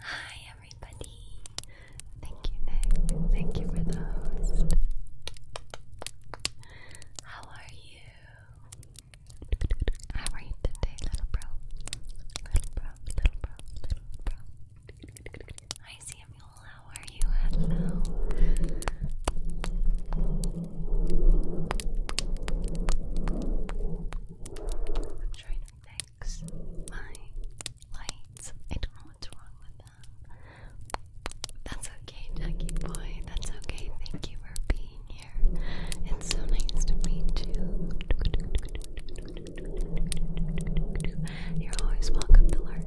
Hi, everybody. Thank you, Nick. Thank you for the host. How are you? How are you today, little bro? Little bro, little bro, little bro. Hi, Samuel. How are I'm trying to fix my lights. I don't know what's wrong with them. That's okay, Jackie boy. That's okay. Thank you for being here. It's so nice to meet you. You're always welcome to lurk.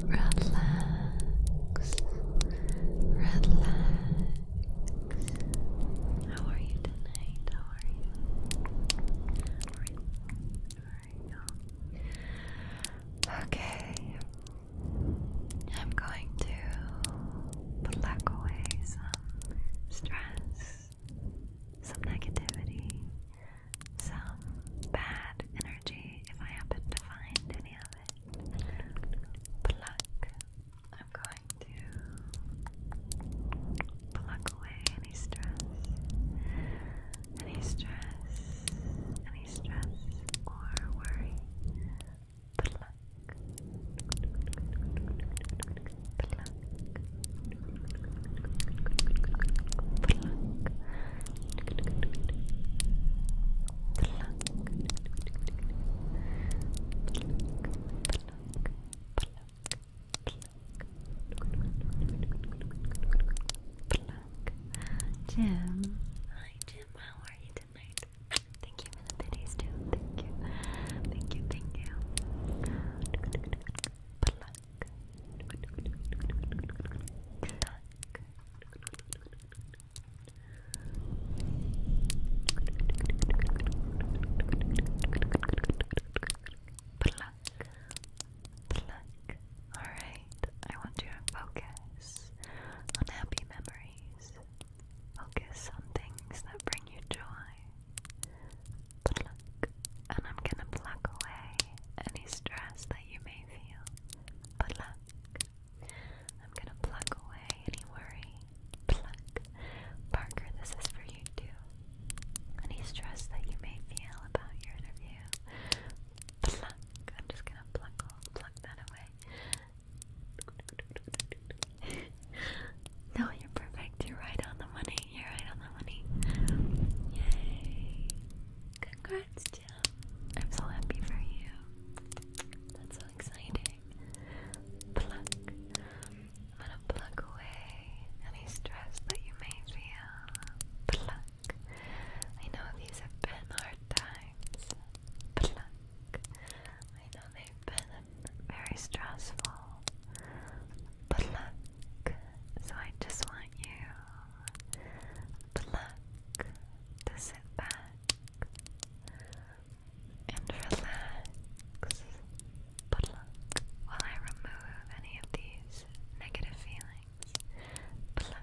Relax, relax, relax. How are you tonight? How are you? Okay. I'm going to pluck away some stress, some negativity, some bad energy if I happen to find any of it. Pluck, I'm going to pluck away any stress, any stress, any stress or worry. Pluck, pluck, pluck, pluck. Jim. Hi Jim, how are you tonight? Thank you for the titties too. Thank you. Thank you, thank you. Pluck, pluck. Alright, I want you to focus on happy memories. Focus on things that bring you joy. Pluck. And I'm gonna pluck away any stress that you may feel. Pluck, I'm gonna pluck away any worry. Pluck. Parker, this is for you too. Any stress that you may feel about your interview. Pluck. I'm just gonna pluck pluck that away. no, you're perfect. You're right on the money. You're right on the money. Yay. Congrats, Jim. I'm so happy for you. That's so exciting. Pluck. I'm gonna pluck away any stress that you may feel. Pluck. I know these have been hard times. Pluck. I know they've been very stressful. Pluck. So I just want you pluck to sit back and relax. But look, while I remove any of these negative feelings, pluck.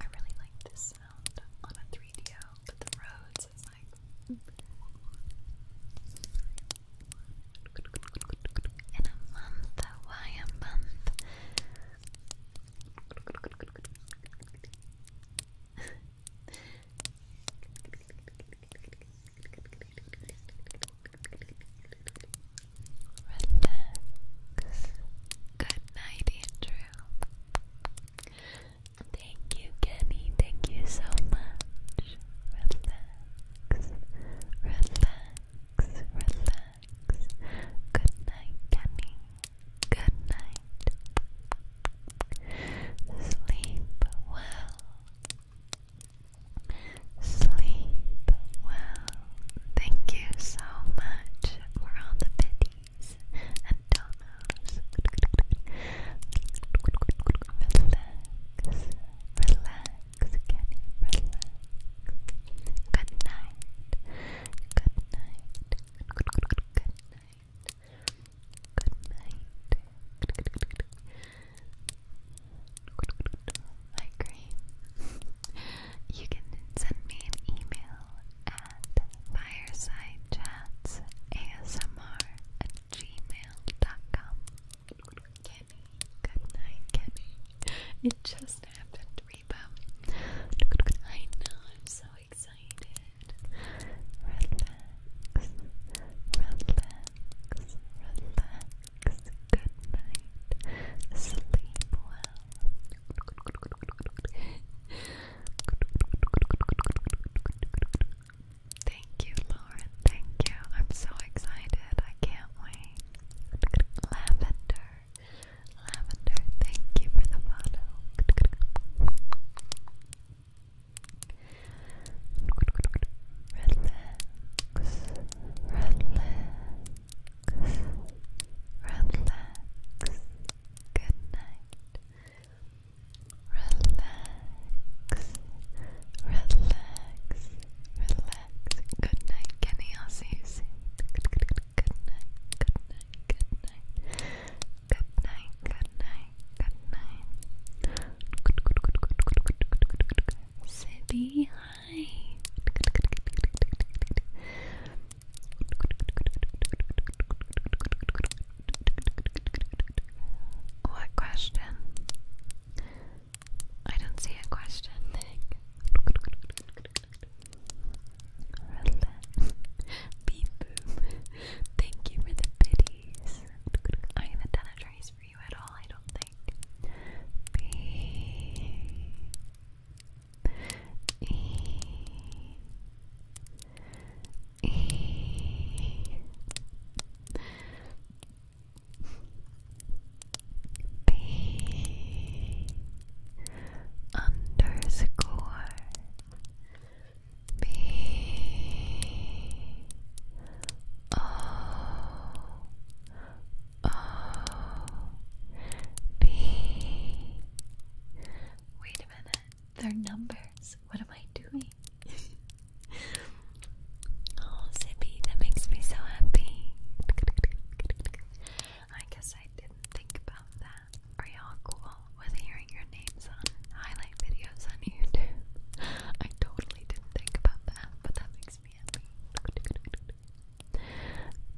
I really like this sound on a 3DO, but the Rhodes is like. In a month, why a month? Relax. Good night, Andrew. Thank you, Kenny. Thank you so much. Relax. Relax. Relax. Good night, Kenny. Good night. Sleep well. Sleep well. Thank you so much for all the biddies and donos. Relax, relax, relax. good night, good night. Good night. Good night my you can send me an email at firesidechatsaSMR Kenny, good night, Kenny. It just happened, Reba. I know, I'm so excited. Relax, relax, relax. Good Sleep well. Thank you, Lauren. Thank you. I'm so excited. I can't wait. Lavender. Lavender, thank you for the follow. Relax. Relax relax. Good night. Relax, relax, relax. Good night, Kenny. I'll see you soon. Good night, good night, good night, good night, good night, good night, good night. Say be what question? I don't see a question. Beep boom. Thank you for the pitties. I'm gonna done you at all, I don't think. B E E B underscore B O O oh. B. Wait a minute, they're numbers. What am I doing? oh, Zippy, that makes me so happy. I guess I didn't think about that. Are y'all cool with hearing your names on highlight videos on YouTube? I totally didn't think about that, but that makes me happy.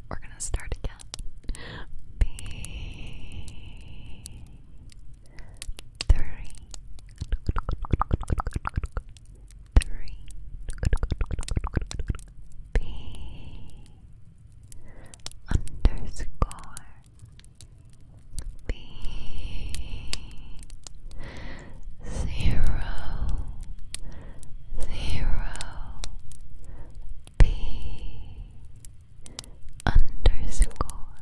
We're gonna start again. B three three B underscore B Zero. B underscore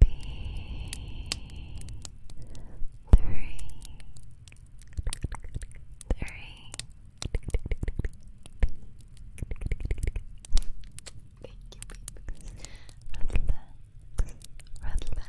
B three, three. Relax, relax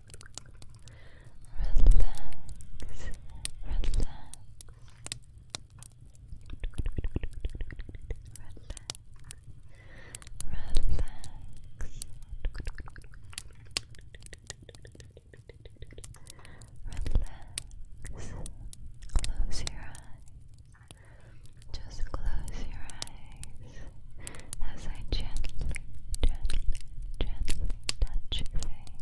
relax, relax. Relax, relax. Relax. Close your eyes. Just close your eyes as I gently, gently, gently touch your face.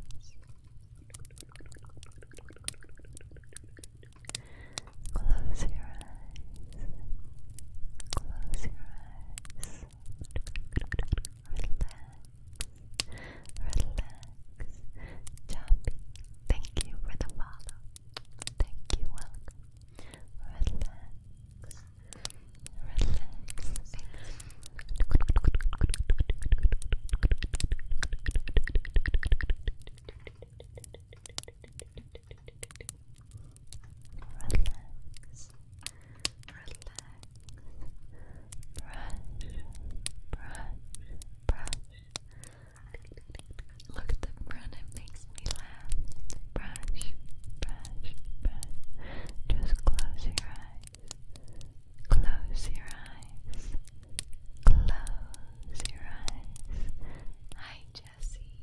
Close your eyes. Close your eyes. Relax. Relax. Choppy. Thank you for the follow. Thank you, Relax relax. Relax, brush, brush, brush. Look at the front, it makes me laugh. Brush, brush, brush. Just close your eyes. Close your eyes. Close your eyes. Hi, Jessie.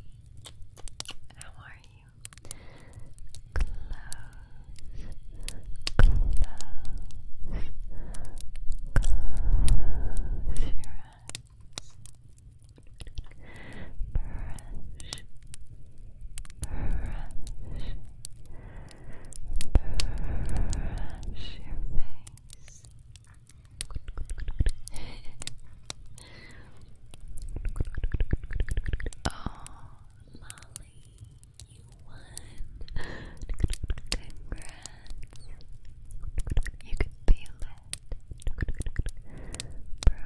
How are you? Close. Close. Close your eyes. brush brush, brush your face. oh, Molly, you won. Congrats. You can feel it. Brush,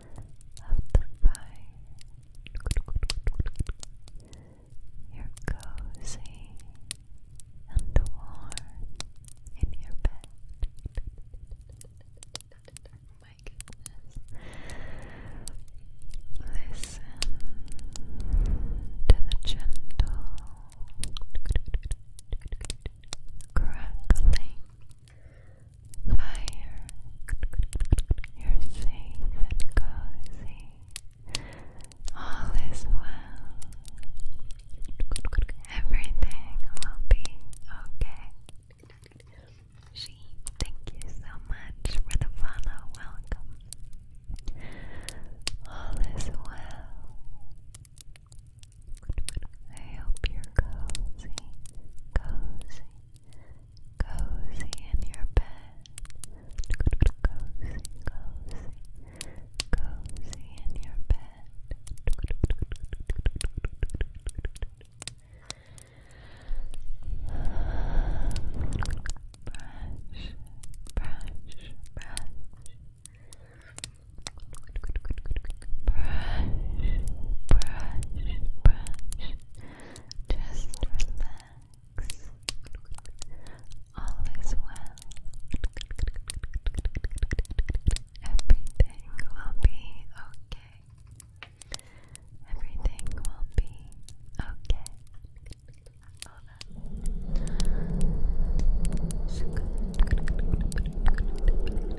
of the fire. You're cozy and warm in your bed. Listen to the gentle crackling higher. You're safe and cozy. All is well. Everything will be okay. She, thank you so much for the follow. Welcome. All is well. I hope you're cozy, cozy, cozy in your bed. Cozy, cozy, cozy in your bed. Brush, brush, brush brush, brush. Just relax. All is well. Everything will be okay. Everything will be okay.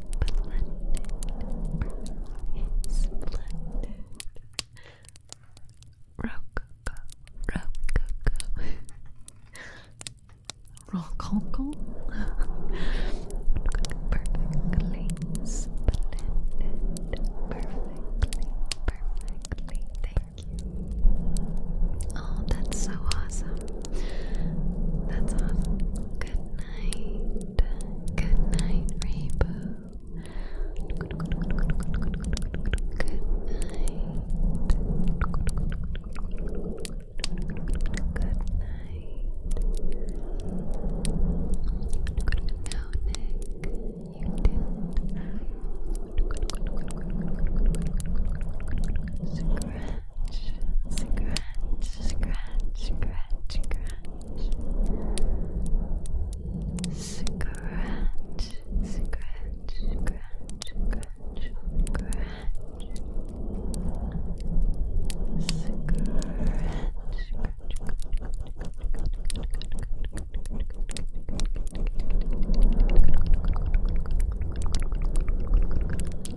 Splendid. Splendid. Rococo. Rococo. Rococo. Perfectly Perfectly. Perfectly. Thank you. Oh, that's so awesome. That's awesome. Good night. Good night, Rainbow. Good night. Good night. No, Nick, you didn't scratch, scratch, scratch, scratch, scratch, scratch, scratch, scratch,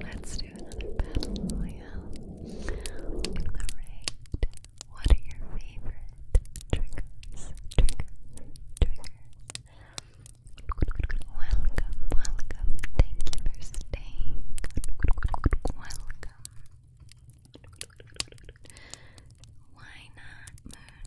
Let's do another battle royale. Give the rate. What are your favorite triggers? Triggers, triggers. Welcome, welcome. Thank you for staying. Welcome. Why not, Moon?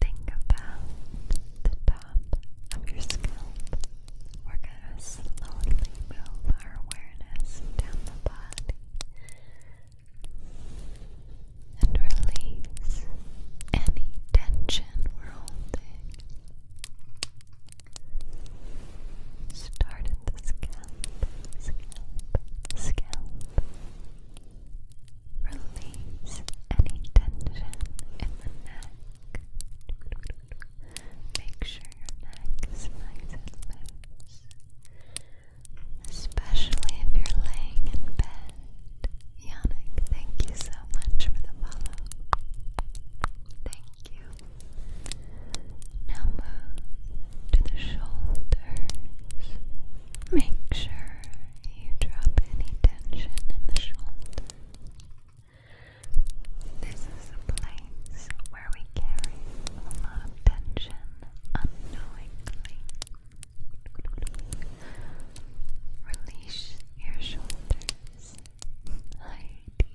Think about the top of your scalp. We're going to slowly move our awareness down the body and release any tension we're holding. Start at the scalp, scalp, scalp. Release any tension in the neck. Make sure your neck is nice and loose. Especially if you're laying in bed. Yannick, thank you so much for the follow. Thank you. Now move to the shoulders. Make sure you drop any tension in the shoulders. This is a place where we carry a lot of tension unknowingly. Release your shoulders. Heidi.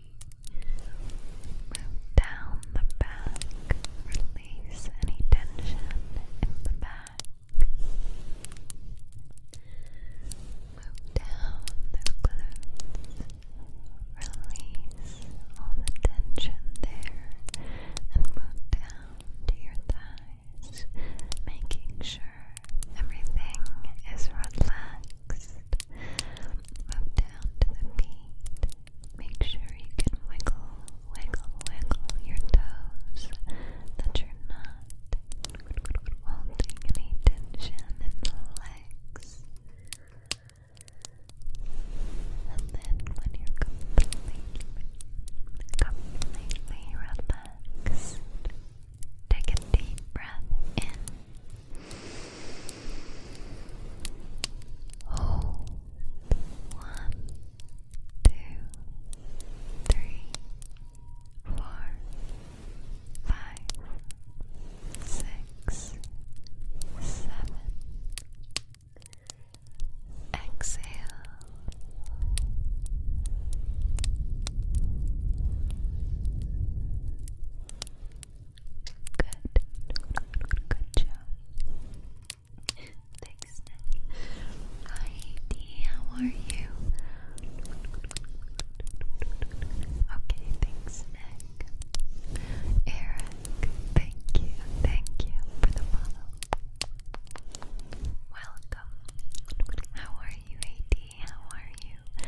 down the back. Release any tension in the back. Move down the glutes. Release all the tension there and move down to your thighs, making sure everything is relaxed. Move down to the feet. Make sure you can wiggle wiggle, wiggle your toes that you're not holding tension in the legs. And then when you're completely, completely relaxed, take a deep breath in. Hold one two, three, four, five, six, seven. Exhale. Good. Good job. Thanks, Nick. Hi, D, how are you? Okay, thanks, Nick. Eric, thank you, thank you for the follow. Welcome. How are you, AD? How are you?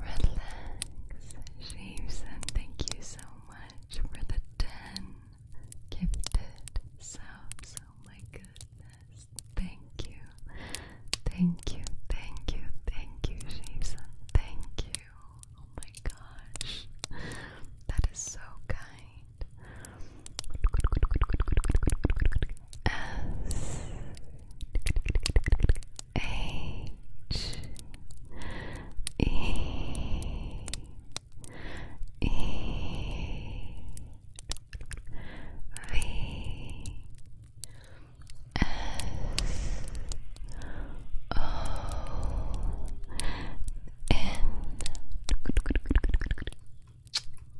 Relax, Jameson. Thank you so much for the 10 gifted subs. Oh my goodness. Thank you. Thank you. Thank you. Thank you, Jameson. Thank you. Oh my gosh. That is so kind. S H E E V S O N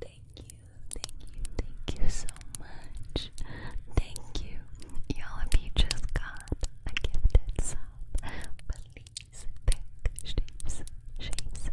Thank you, thank you, thank you so much. Thank you. Y'all, if just got a gifted sub, please thank Jason, Jason, Jason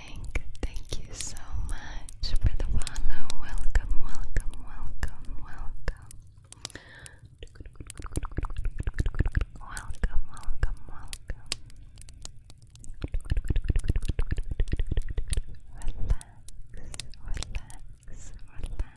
thank you so much for Welcome, welcome, welcome, welcome. Welcome, welcome, welcome. relax, relax. Relax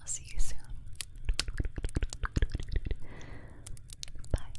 I'll see you soon. Bye.